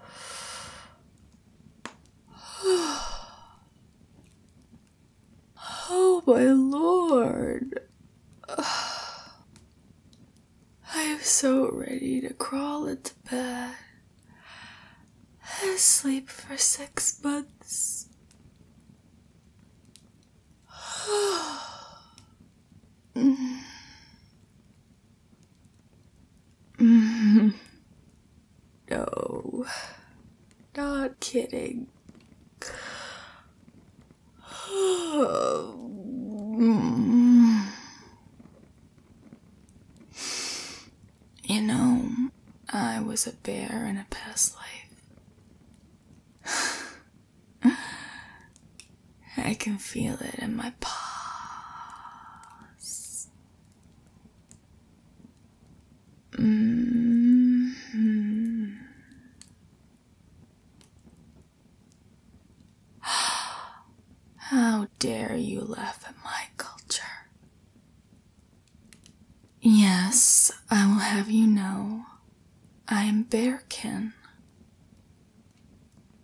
Oh, my lord. I am so ready to crawl into bed and sleep for six months. no. Not kidding. you know, I was a bear in a past life. I can feel it in my paws. Mm-hmm. How dare you laugh at my culture? Yes, I will have you know I am Bearkin,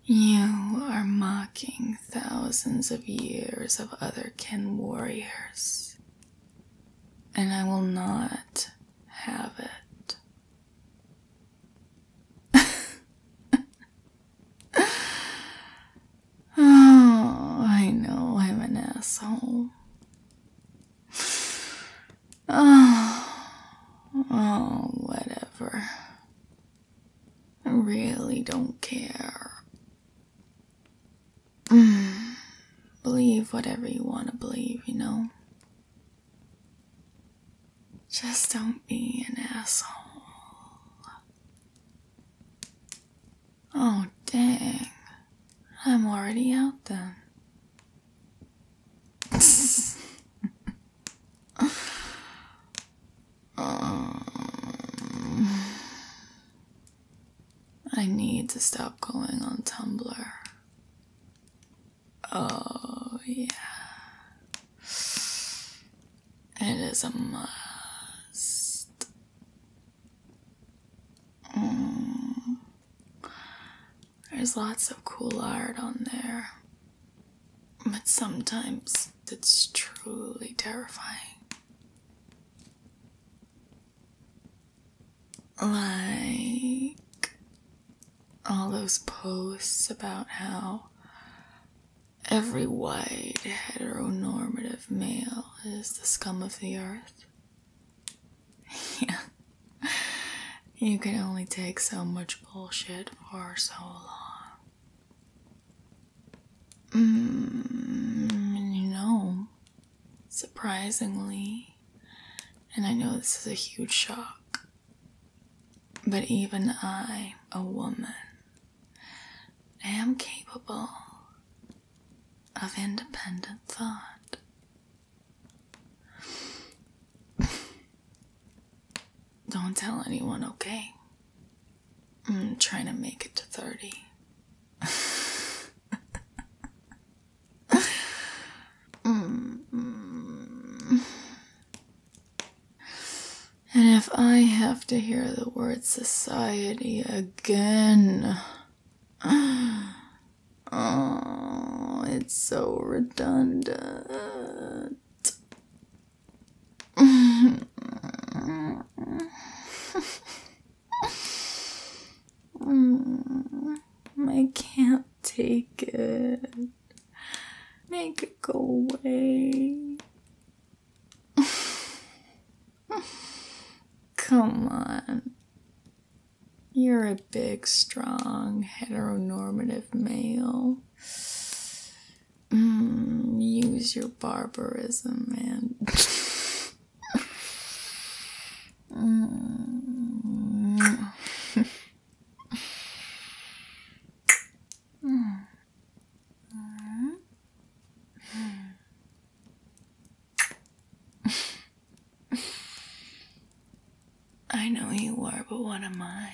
you are mocking thousands of years of other kin warriors, and I will not have it. oh, I know I'm an asshole. Oh, oh, whatever. I really don't care. Mm. believe whatever you want to believe, you know? Just don't be an asshole. Oh, dang. I'm already out then. I need to stop going on Tumblr. Oh, yeah. It is a must. Mm. There's lots of cool art on there, but sometimes it's truly terrifying. Like all those posts about how every white heteronormative male is the scum of the earth yeah. You can only take so much bullshit for so long. Mm, surprisingly, and I know this is a huge shock, but even I, a woman, am capable of independent thought. Don't tell anyone, okay? I'm trying to make it to 30. Mm-hmm. And if I have to hear the word society again, Oh, it's so redundant. Mm, I can't take it. Make it go away. Come on. You're a big, strong, heteronormative male. Mm, use your barbarism, man. mm. mm. I know you are, but what am I?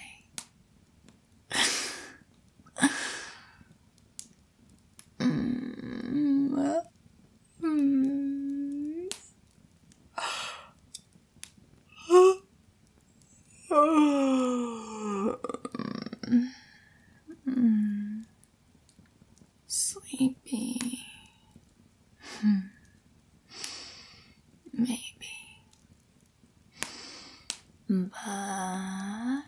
mm -hmm. Sleepy. Hmm. Maybe. But. Mm.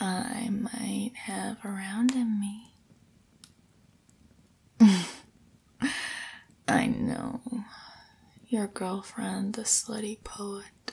I might have around in me. I know. Your girlfriend, the slutty poet,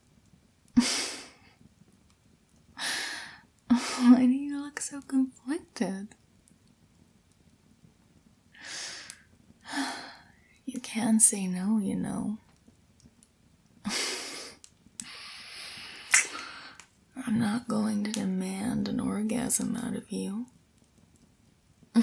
Why do you look so conflicted? You can't say no, you know. I'm not going to demand an orgasm out of you.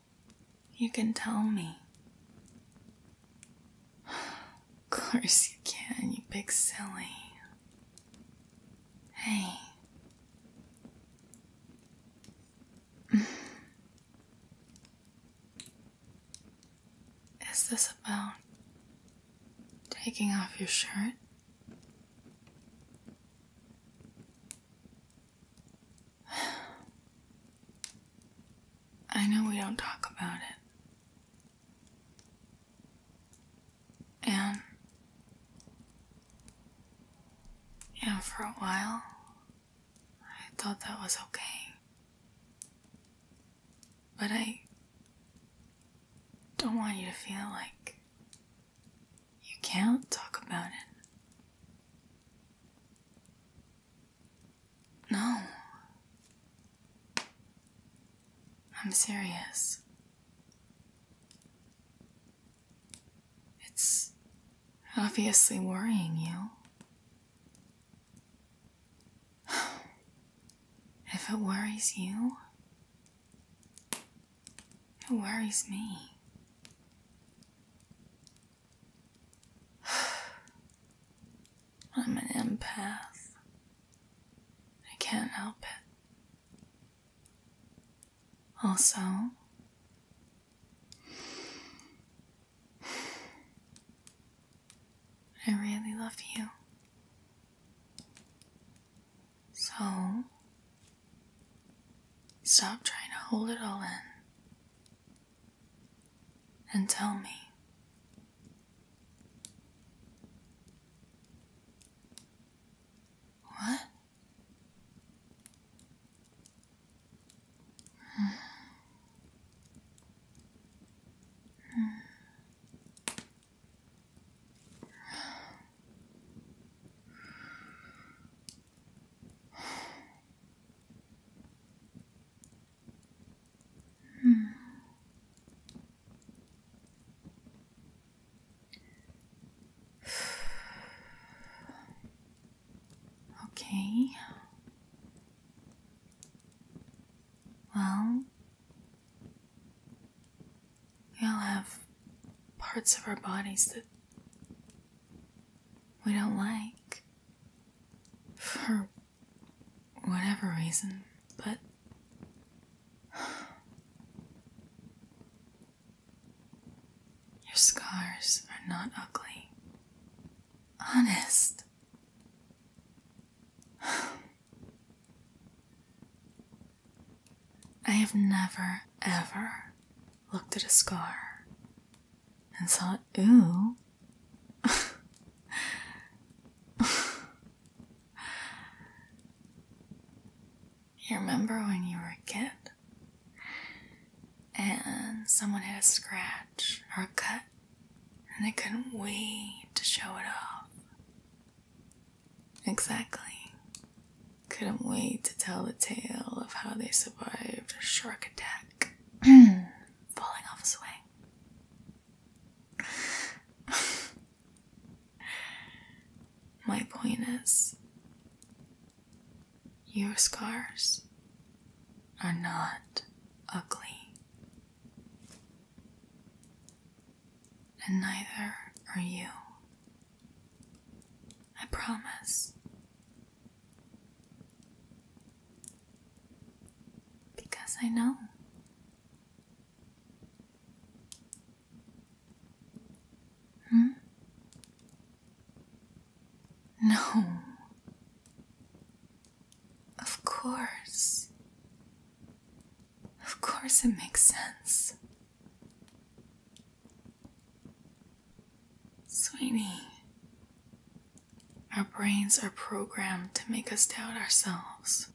You can tell me. Of course you can, you big silly. Hey. Is this about taking off your shirt? I know we don't talk about it. And. Yeah, for a while, I thought that was okay. But I don't want you to feel like you can't talk about it. No. I'm serious. It's obviously worrying you. If it worries you, it worries me. I'm an empath. I can't help it. Also, I really love you. So, Stop trying to hold it all in and tell me. What? Hmm. Hmm. Hmm. Okay. Well, we all have parts of our bodies that we don't like. For whatever reason, but. Your scars are not ugly. Honest. I have never, ever looked at a scar and thought, ooh. you remember when you were a kid and someone had a scratch or a cut and they couldn't wait to show it off? Exactly. Couldn't wait to tell the tale of how they survived a shark attack, falling off a swing. My point is, your scars are not ugly, and neither are you. I promise. Because I know. Hmm? No. Of course. Of course, it makes sense. Sweeney, our brains are programmed to make us doubt ourselves,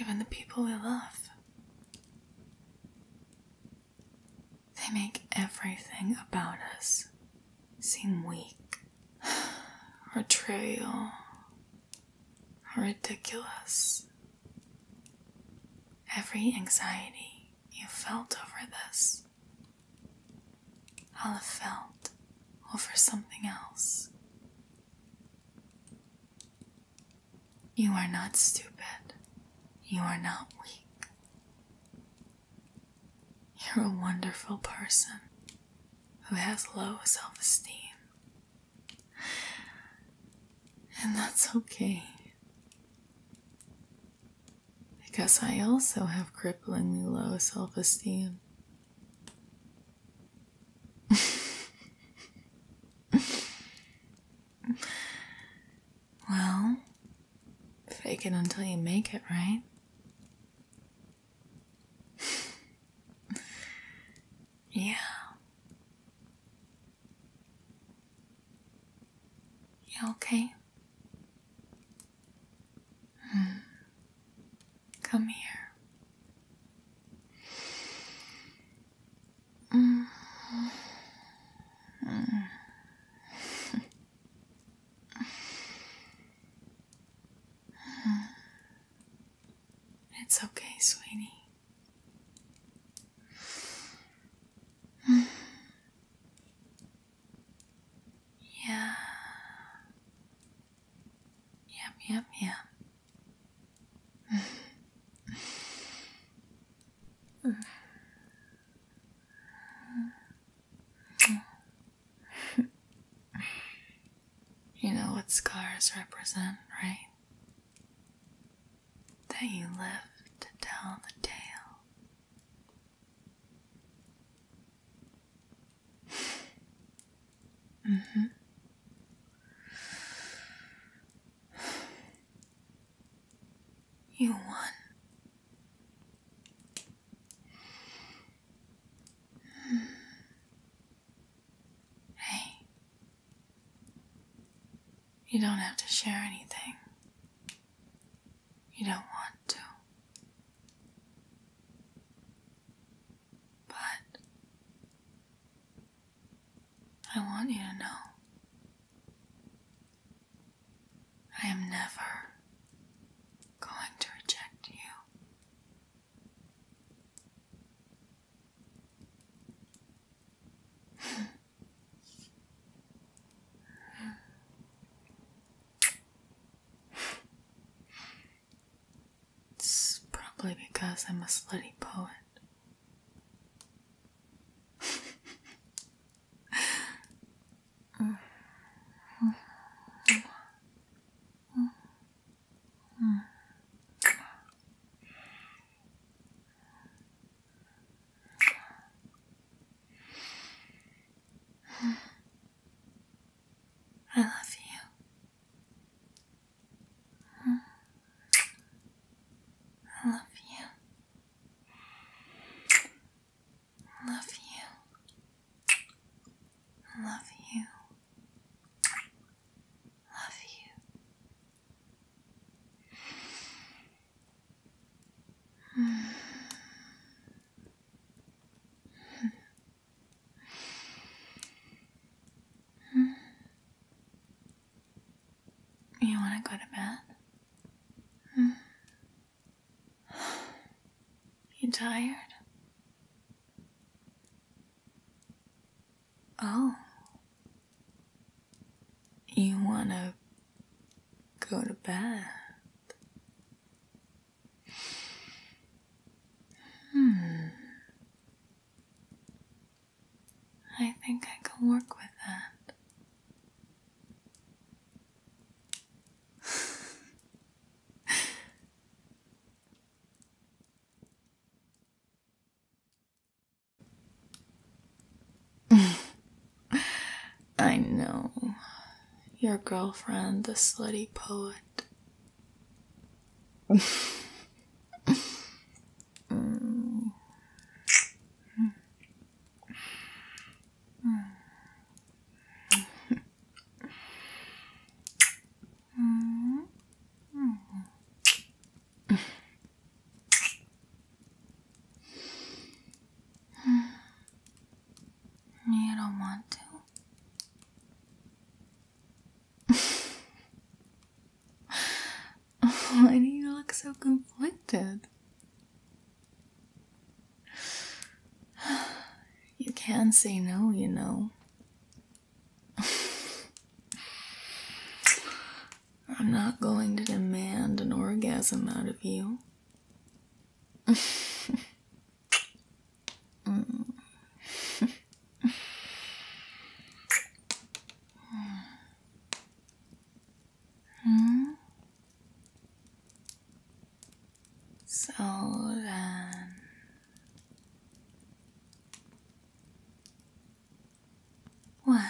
even the people we love. They make everything about us seem weak or trivial ridiculous. Every anxiety you felt over this, I'll have felt over something else. You are not stupid. You are not weak. You're a wonderful person who has low self esteem and that's okay. Because I also have cripplingly low self esteem. well, fake it until you make it, right? Yeah. Yeah, okay. Hmm. Come here. Mm. Mm. It's okay, sweetie. yeah. Yep, yep, yep. You know what scars represent, right? That you live to tell the tale. Mm-hmm. You won. Hey, you don't have to share anything. You don't want to. But I want you to know I am never going to reject you it's probably because I'm a slutty poet. I love you. I love you. love you. love you. Love you. You want to go to bed? You tired? Oh. You wanna go to bed? Hmm. I think I can work with that. I know. Your girlfriend, the slutty poet. Mm -hmm. You don't want Why do you look so conflicted? You can say no, you know. I'm not going to demand an orgasm out of you. mm. hmm? So then what?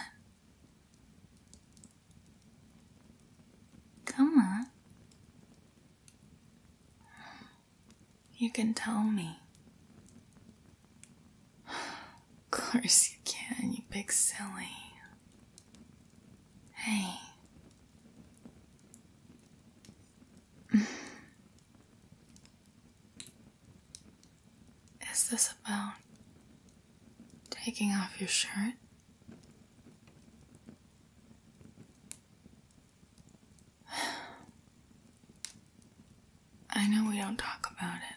Come on. You can tell me. Of course you can, you big silly. Hey. Is this about taking off your shirt? I know we don't talk about it.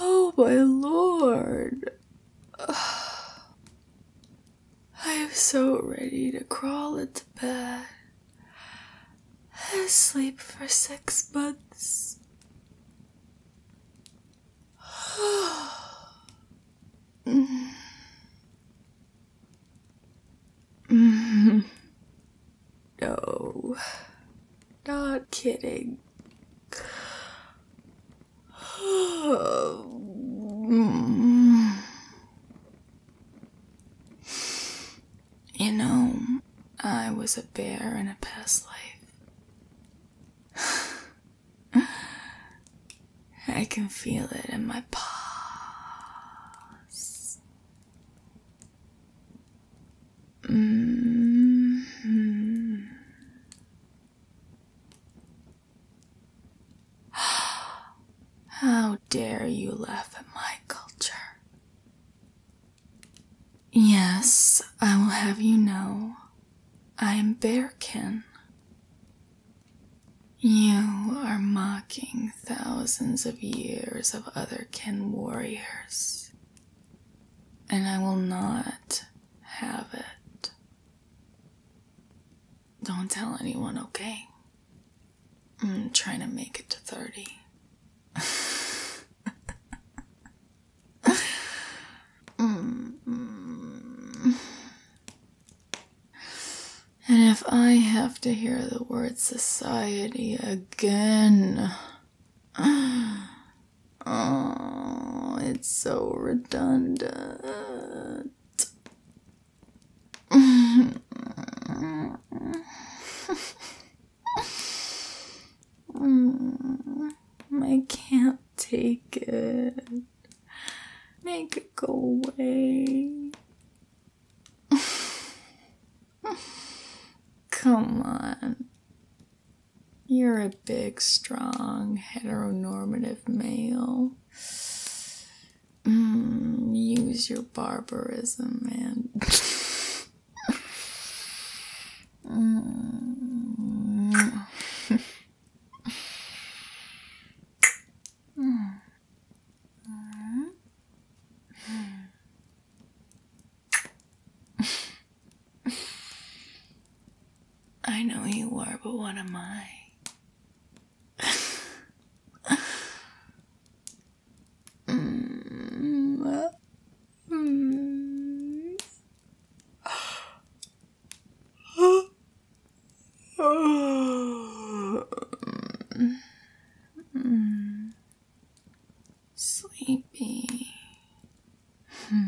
Oh, my lord. I am so ready to crawl into bed and sleep for six months. No. Not kidding. You know, I was a bear in a past life. I can feel it in my paws. Mm-hmm. How dare you laugh at my culture? Yes, I will have you know I am bear kin. You are mocking thousands of years of other kin warriors and I will not have it. Don't tell anyone, okay? I'm trying to make it to 30. And if I have to hear the word society again, oh, it's so redundant. I can't take it. Make it go away. Come on. You're a big, strong, heteronormative male. Mm, use your barbarism, man. Mm. Hmm. I know you are, but what am I? Hmm. Hmm. Sleepy. Hmm.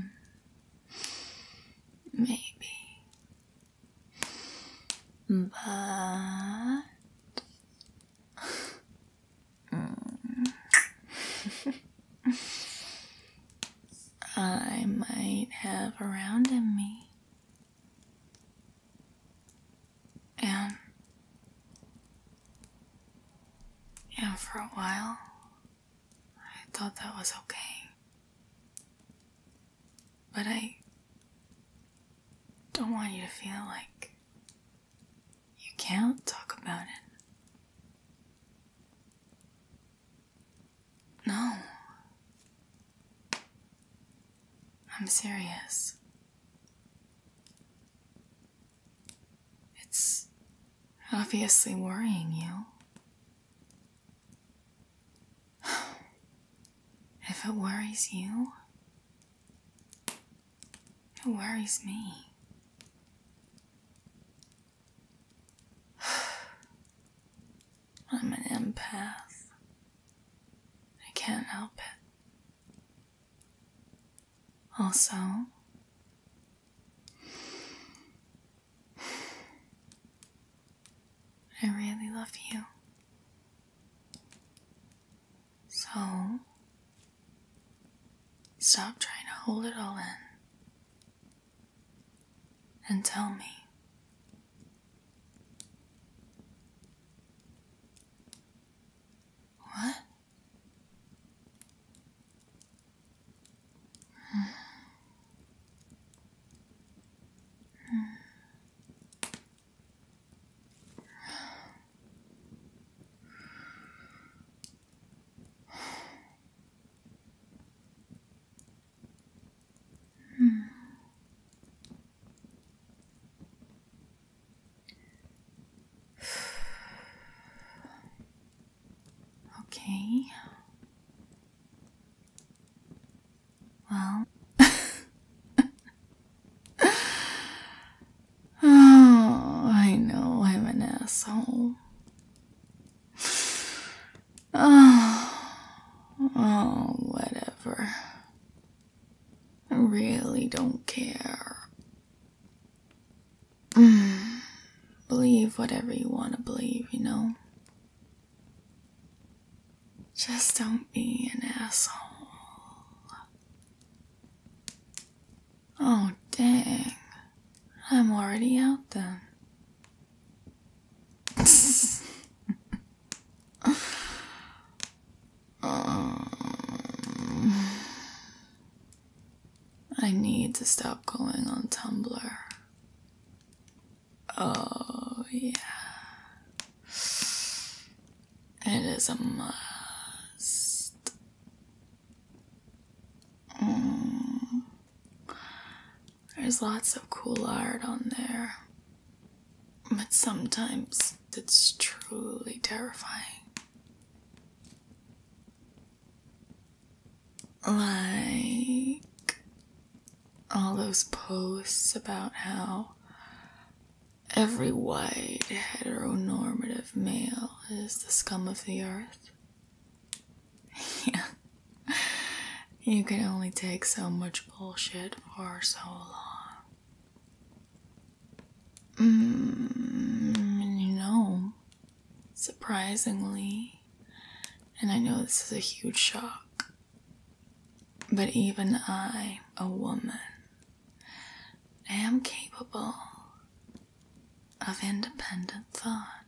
Maybe. But. I might have around me and yeah, for a while, I thought that was okay. But I don't want you to feel like you can't talk about it. No. I'm serious. It's obviously worrying you. If it worries you, it worries me. I'm an empath. I can't help it. Also, I really love you. So, stop trying to hold it all in and tell me. What? Hmm okay. Well. Oh, I know I'm an asshole. Oh, oh, whatever. I really don't care. believe whatever you want to believe, you know? Just don't be an asshole. Oh, dang. I'm already out then. Um, I need to stop going on Tumblr. Oh, yeah. It is a must. Mm. There's lots of cool art on there. But sometimes it's truly terrifying. Like all those posts about how every white heteronormative male is the scum of the earth. yeah. You can only take so much bullshit for so long. Mm, you know, surprisingly, and I know this is a huge shock, but even I, a woman, am capable of independent thought.